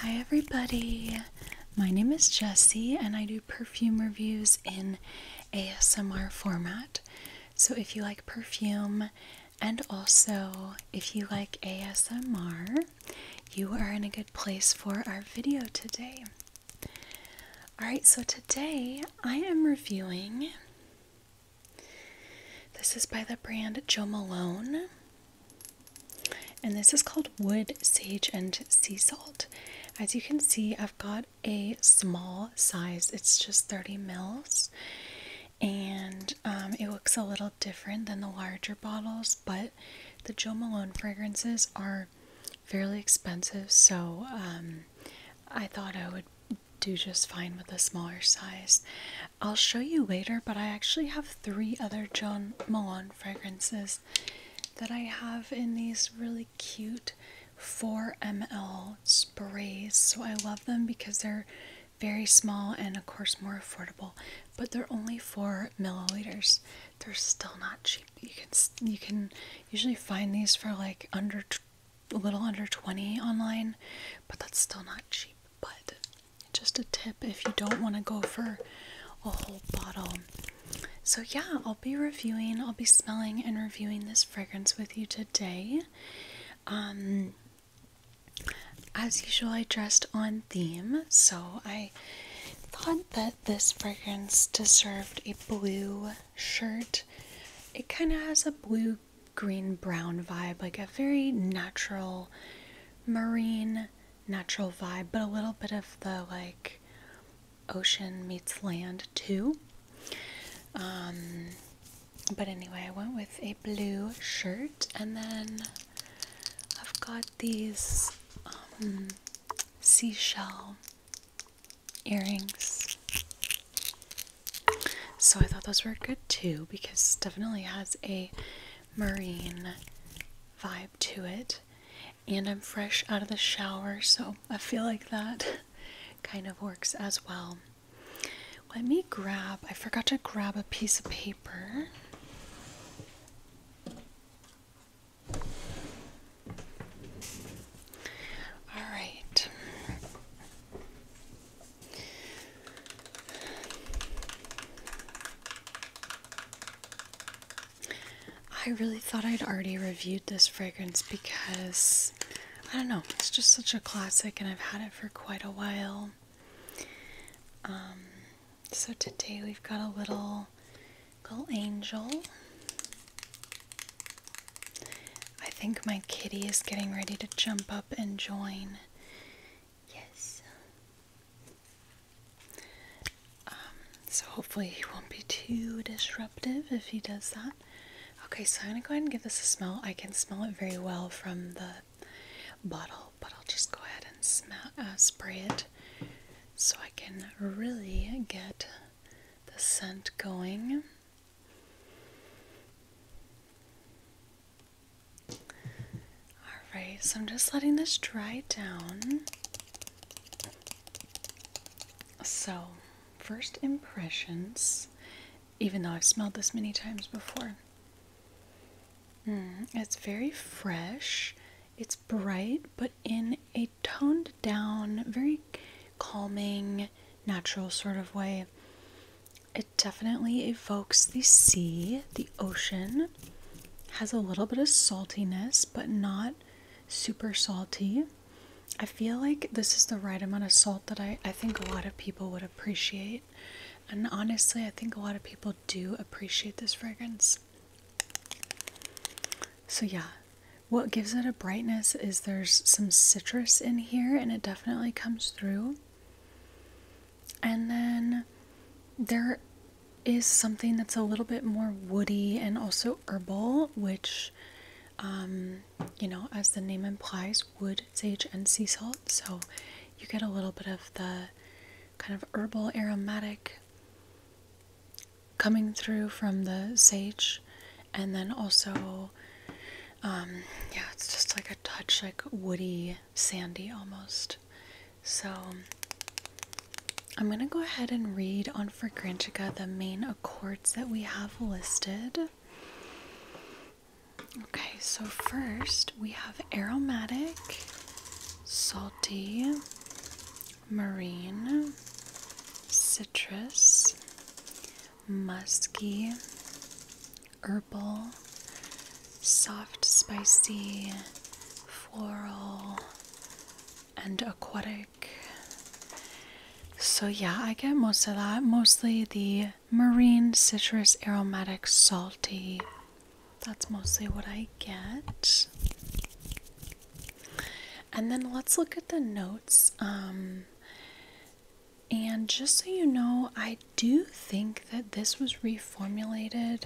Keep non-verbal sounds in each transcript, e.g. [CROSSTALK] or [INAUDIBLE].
Hi, everybody. My name is Jessie, and I do perfume reviews in ASMR format. So, if you like perfume and also if you like ASMR, you are in a good place for our video today. Alright, so today I am reviewing. This is by the brand Joe Malone. And this is called wood, sage, and sea salt. As you can see, I've got a small size, it's just 30 mils, and um, it looks a little different than the larger bottles. But the Joe Malone fragrances are fairly expensive, so um, I thought I would do just fine with a smaller size. I'll show you later, but I actually have three other John Milan fragrances that I have in these really cute 4ml sprays. So I love them because they're very small and, of course, more affordable, but they're only 4 milliliters. They're still not cheap. You can, you can usually find these for like under a little under 20 online, but that's still not cheap. But just a tip if you don't want to go for a whole bottle. So, yeah, I'll be reviewing, I'll be smelling and reviewing this fragrance with you today. Um, as usual, I dressed on theme, so I thought that this fragrance deserved a blue shirt. It kind of has a blue green brown vibe, like a very natural marine natural vibe, but a little bit of the like ocean meets land too. Um, but anyway, I went with a blue shirt, and then I've got these um, seashell earrings. So I thought those were good too because definitely has a marine vibe to it. And I'm fresh out of the shower, so I feel like that [LAUGHS] kind of works as well. Let me grab, I forgot to grab a piece of paper. All right. I really thought I'd already reviewed this fragrance because I don't know, it's just such a classic and I've had it for quite a while. Um, so today we've got a little little angel. I think my kitty is getting ready to jump up and join Yes. Um, so hopefully he won't be too disruptive if he does that. Okay, so I'm gonna go ahead and give this a smell. I can smell it very well from the bottle, but I'll just go ahead and smell, uh, spray it so I can really get the scent going. Alright, so I'm just letting this dry down. So, first impressions, even though I've smelled this many times before. Hmm, it's very fresh. It's bright, but in a toned down, very calming, natural sort of way. It definitely evokes the sea, the ocean. Has a little bit of saltiness, but not super salty. I feel like this is the right amount of salt that I, I think a lot of people would appreciate. And honestly, I think a lot of people do appreciate this fragrance. So, yeah, what gives it a brightness is there's some citrus in here, and it definitely comes through. And then there is something that's a little bit more woody and also herbal, which, um, you know, as the name implies, wood, sage, and sea salt. So you get a little bit of the kind of herbal aromatic coming through from the sage. And then also, um, yeah, it's just like a touch like woody, sandy almost. So I'm going to go ahead and read on Fragrantica the main accords that we have listed. Okay, so first we have aromatic, salty, marine, citrus, musky, herbal, soft, spicy, floral, and aquatic. So, yeah, I get most of that. Mostly the marine, citrus, aromatic, salty. That's mostly what I get. And then let's look at the notes. Um, and just so you know, I do you think that this was reformulated.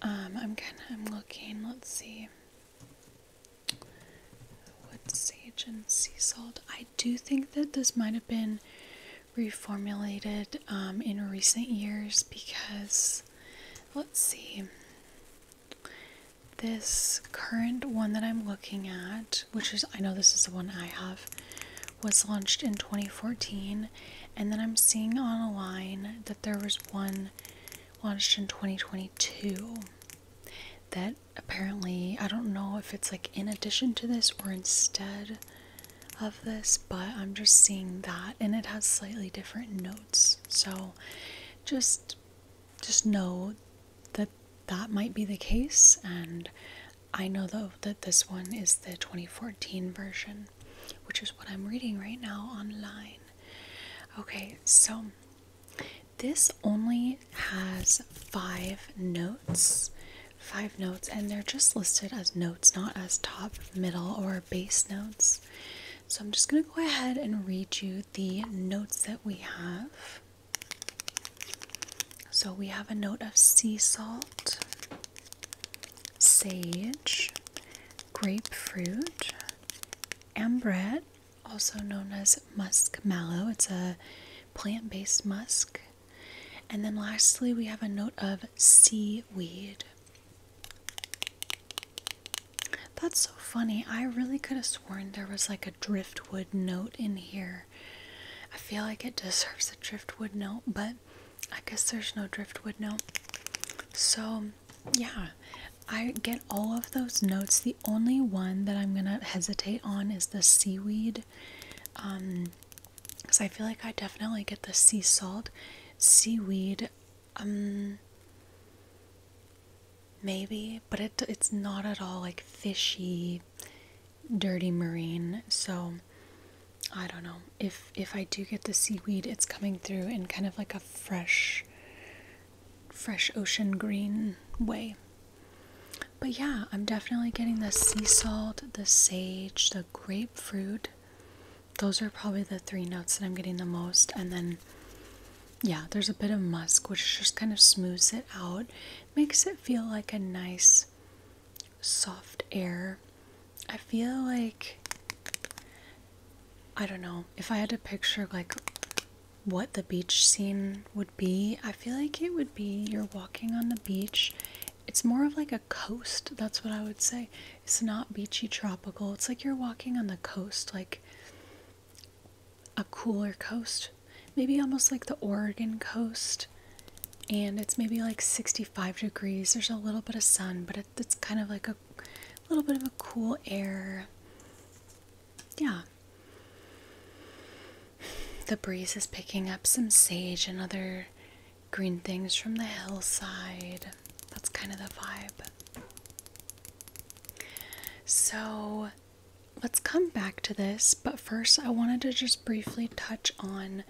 Um, I'm kind of I'm looking. Let's see. Wood sage and sea salt. I do think that this might have been reformulated um, in recent years because let's see. This current one that I'm looking at, which is I know this is the one I have, was launched in 2014 and then I'm seeing on a line that there was one launched in 2022 that apparently, I don't know if it's like in addition to this or instead of this, but I'm just seeing that and it has slightly different notes. So just just know that that might be the case and I know though that this one is the 2014 version, which is what I'm reading right now online. Okay, so this only has five notes, five notes, and they're just listed as notes, not as top, middle, or bass notes. So I'm just going to go ahead and read you the notes that we have. So we have a note of sea salt, sage, grapefruit, ambrette, also known as musk mallow. It's a plant based musk. And then lastly, we have a note of seaweed. That's so funny. I really could have sworn there was like a driftwood note in here. I feel like it deserves a driftwood note, but I guess there's no driftwood no. So, yeah, I get all of those notes. The only one that I'm gonna hesitate on is the seaweed. Um, because I feel like I definitely get the sea salt, seaweed, um, maybe, but it, it's not at all like fishy dirty marine so I don't know if if I do get the seaweed it's coming through in kind of like a fresh fresh ocean green way but yeah I'm definitely getting the sea salt the sage the grapefruit those are probably the three notes that I'm getting the most and then yeah there's a bit of musk which just kind of smooths it out makes it feel like a nice soft air I feel like I don't know if I had to picture like what the beach scene would be. I feel like it would be you're walking on the beach. It's more of like a coast. That's what I would say. It's not beachy tropical. It's like you're walking on the coast, like a cooler coast. Maybe almost like the Oregon coast and it's maybe like 65 degrees. There's a little bit of sun, but it's kind of like a little bit of a cool air. Yeah. The breeze is picking up some sage and other green things from the hillside. That's kind of the vibe. So let's come back to this, but first I wanted to just briefly touch on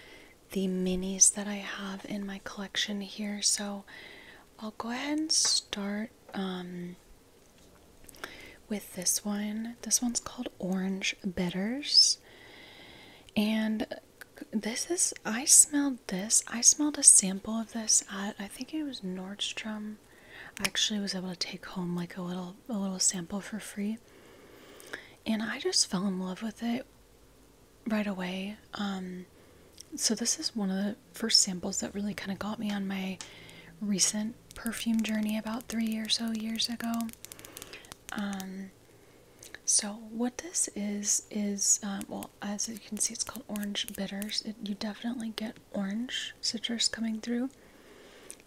the minis that I have in my collection here. So I'll go ahead and start um, with this one. This one's called Orange Bitters. And this is, I smelled this. I smelled a sample of this at, I think it was Nordstrom. I actually was able to take home like a little, a little sample for free. And I just fell in love with it right away. Um, so this is one of the first samples that really kind of got me on my recent perfume journey about three or so years ago. Um, so what this is is uh, well, as you can see, it's called orange bitters. you definitely get orange citrus coming through,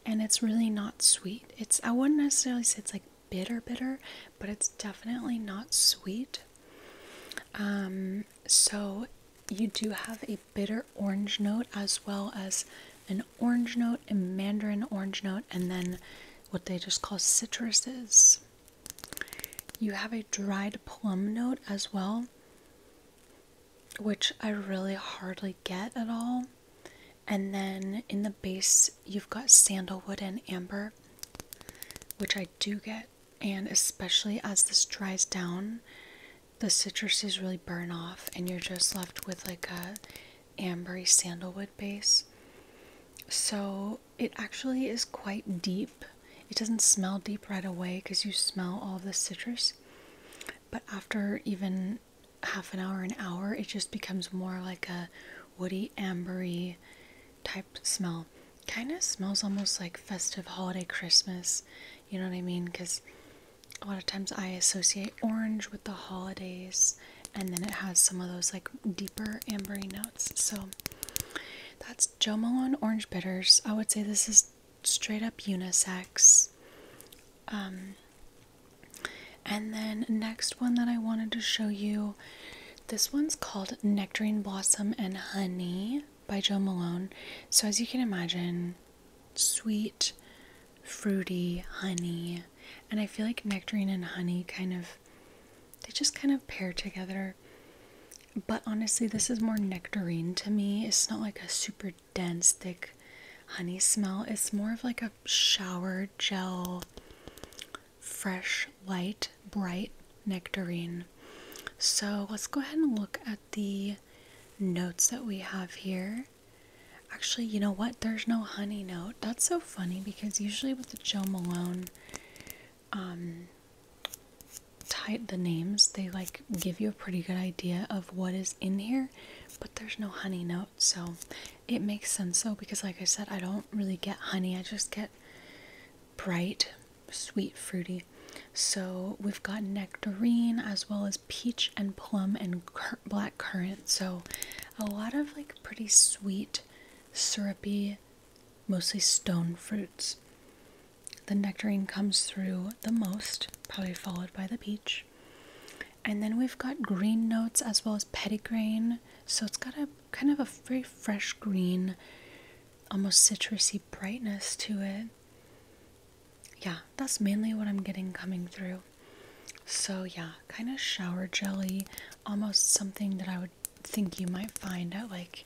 and it's really not sweet. It's I wouldn't necessarily say it's like bitter bitter but it's definitely not sweet um, so you do have a bitter orange note as well as an orange note a mandarin orange note and then what they just call citruses you have a dried plum note as well which i really hardly get at all and then in the base, you've got sandalwood and amber, which I do get. And especially as this dries down, the citruses really burn off, and you're just left with like a ambery sandalwood base. So it actually is quite deep. It doesn't smell deep right away because you smell all the citrus. But after even half an hour, an hour, it just becomes more like a woody, ambery type smell. Kind of smells almost like festive holiday Christmas. You know what I mean? Because a lot of times I associate orange with the holidays, and then it has some of those like deeper ambery notes. So that's Jo Malone Orange Bitters. I would say this is straight up unisex. Um, and then next one that I wanted to show you, this one's called Nectarine Blossom and Honey by Joe Malone. So as you can imagine, sweet, fruity, honey. And I feel like nectarine and honey kind of they just kind of pair together. But honestly, this is more nectarine to me. It's not like a super dense, thick honey smell. It's more of like a shower gel fresh, light, bright nectarine. So let's go ahead and look at the notes that we have here. Actually, you know what? There's no honey note. That's so funny because usually with the Joe Malone um, type the names, they like give you a pretty good idea of what is in here, but there's no honey note. So it makes sense though because like I said I don't really get honey I just get bright sweet fruity so we've got nectarine as well as peach and plum and black currant so a lot of like pretty sweet syrupy mostly stone fruits the nectarine comes through the most probably followed by the peach and then we've got green notes as well as pettigrain so it's got a kind of a very fresh green, almost citrusy brightness to it. Yeah, that's mainly what I'm getting coming through. So, yeah, kind of shower jelly, almost something that I would think you might find at like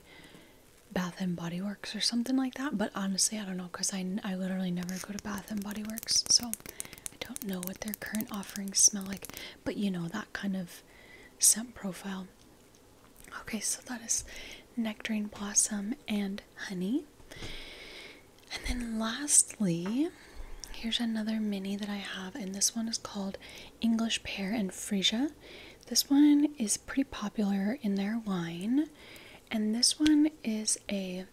Bath and Body Works or something like that. But honestly, I don't know because I, I literally never go to Bath and Body Works, so I don't know what their current offerings smell like but you know that kind of scent profile. Okay, so that is nectarine blossom and honey. And then lastly, here's another mini that I have, and this one is called English Pear and Freesia. This one is pretty popular in their line, and this one is a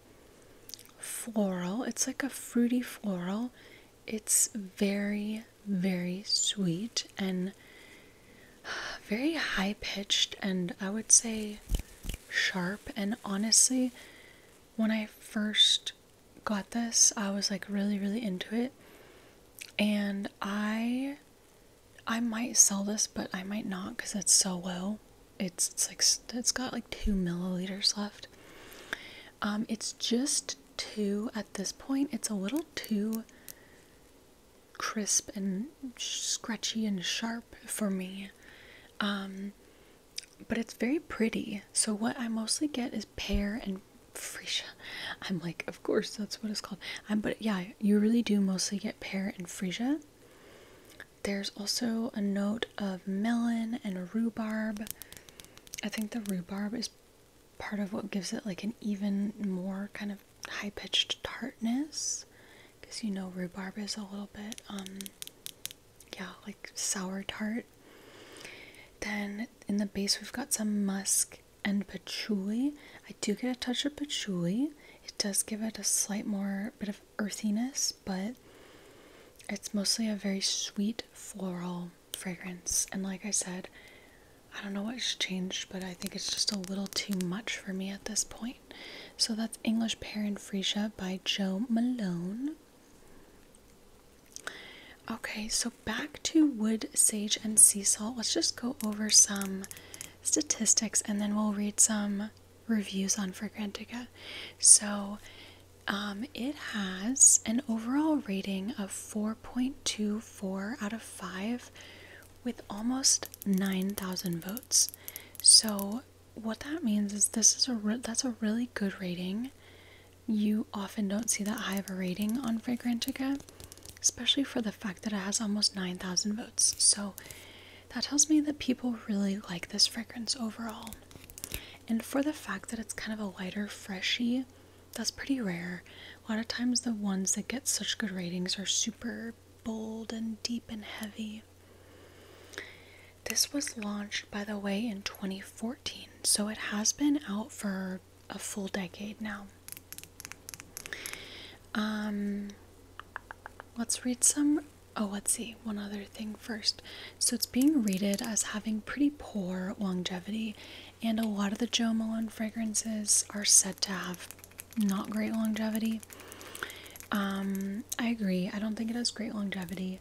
floral, it's like a fruity floral, it's very, very sweet and very high pitched, and I would say sharp. And honestly, when I first got this, I was like really, really into it. And I I might sell this, but I might not because it's so low. It's, it's like it's got like two milliliters left. Um, it's just too, at this point, it's a little too crisp and scratchy and sharp for me. Um, but it's very pretty. So what I mostly get is pear and freesia. [LAUGHS] I'm like, of course, that's what it's called. Um, but yeah, you really do mostly get pear and freesia. There's also a note of melon and rhubarb. I think the rhubarb is part of what gives it like an even more kind of high pitched tartness. Because you know, rhubarb is a little bit, um, yeah, like sour tart. Then in the base, we've got some musk and patchouli. I do get a touch of patchouli. It does give it a slight more bit of earthiness, but it's mostly a very sweet floral fragrance. And like I said, I don't know what's changed, but I think it's just a little too much for me at this point. So that's English Pear and Freesia by Joe Malone. Okay, so back to wood, sage, and sea salt. Let's just go over some statistics and then we'll read some reviews on Fragrantica. So, um, it has an overall rating of 4.24 out of 5 with almost 9,000 votes. So what that means is this is a that's a really good rating. You often don't see that high of a rating on Fragrantica, especially for the fact that it has almost 9,000 votes. So that tells me that people really like this fragrance overall. And for the fact that it's kind of a lighter, freshy, that's pretty rare. A lot of times, the ones that get such good ratings are super bold and deep and heavy. This was launched, by the way, in 2014, so it has been out for a full decade now. Um, let's read some. Oh, let's see. One other thing first. So it's being rated as having pretty poor longevity, and a lot of the Jo Malone fragrances are said to have not great longevity. Um, I agree. I don't think it has great longevity,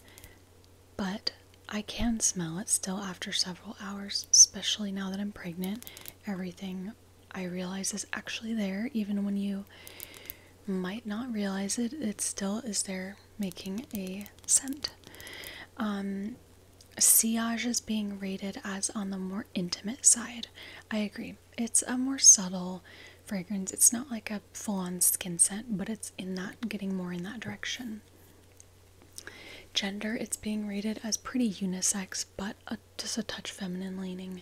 but I can smell it still after several hours, especially now that I'm pregnant. Everything I realize is actually there, even when you might not realize it, it still is there making a scent. Um, is being rated as on the more intimate side. I agree. It's a more subtle fragrance. It's not like a full-on skin scent, but it's in that getting more in that direction. Gender, it's being rated as pretty unisex, but just a touch feminine leaning.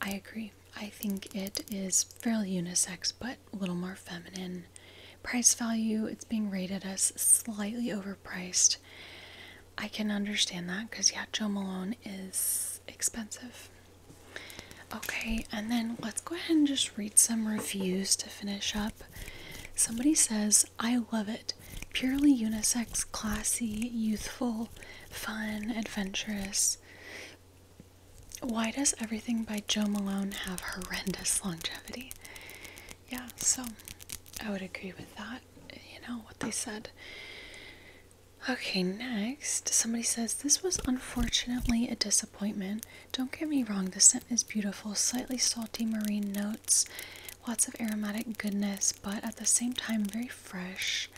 I agree. I think it is fairly unisex, but a little more feminine. Price value, it's being rated as slightly overpriced. I can understand that because, yeah, Joe Malone is expensive. Okay, and then let's go ahead and just read some reviews to finish up. Somebody says, I love it. Purely unisex, classy, youthful, fun, adventurous. Why does everything by Joe Malone have horrendous longevity? Yeah, so I would agree with that. You know what they said. Okay, next, somebody says, This was unfortunately a disappointment. Don't get me wrong, the scent is beautiful, slightly salty marine notes, lots of aromatic goodness, but at the same time, very fresh.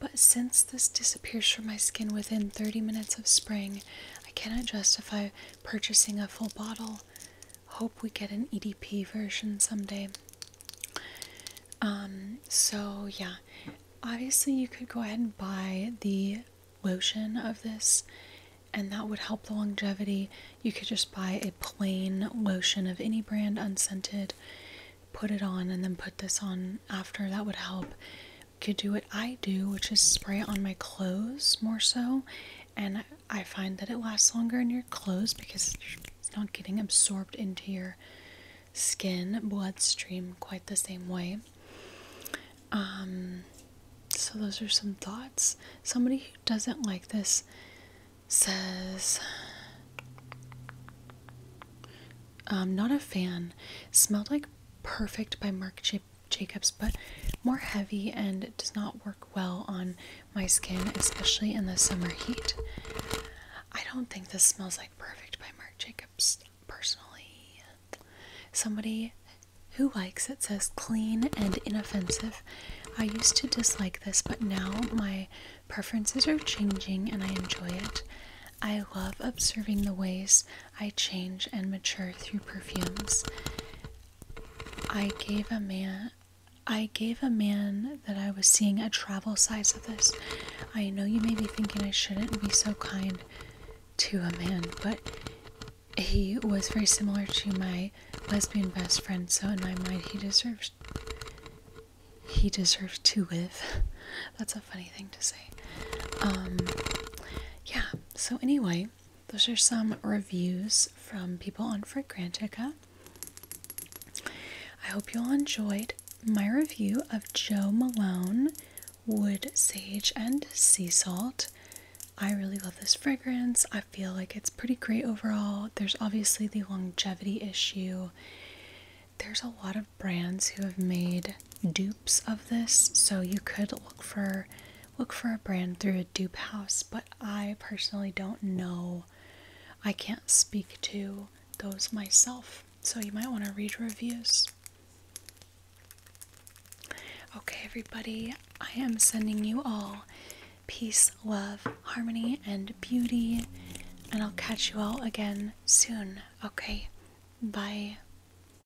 But since this disappears from my skin within 30 minutes of spraying, I cannot justify purchasing a full bottle. Hope we get an EDP version someday. Um, so yeah, obviously you could go ahead and buy the lotion of this and that would help the longevity. You could just buy a plain lotion of any brand, unscented, put it on, and then put this on after. That would help could do what I do, which is spray it on my clothes more so. And I find that it lasts longer in your clothes because it's not getting absorbed into your skin bloodstream quite the same way. Um, so, those are some thoughts. Somebody who doesn't like this says, "I'm not a fan. Smelled like perfect by Marc J Jacobs, but more heavy and does not work well on my skin, especially in the summer heat. I don't think this smells like perfect by Marc Jacobs personally. Somebody who likes it says clean and inoffensive. I used to dislike this, but now my preferences are changing and I enjoy it. I love observing the ways I change and mature through perfumes. I gave a man I gave a man that I was seeing a travel size of this. I know you may be thinking I shouldn't be so kind to a man, but he was very similar to my lesbian best friend, so in my mind he deserves he deserves to live. [LAUGHS] That's a funny thing to say. Um yeah, so anyway, those are some reviews from people on Fragrantica. I hope you all enjoyed my review of Joe Malone Wood Sage and Sea Salt. I really love this fragrance. I feel like it's pretty great overall. There's obviously the longevity issue. There's a lot of brands who have made dupes of this, so you could look for look for a brand through a dupe house, but I personally don't know. I can't speak to those myself. So you might want to read reviews. Okay, everybody, I am sending you all peace, love, harmony, and beauty. And I'll catch you all again soon. Okay, bye.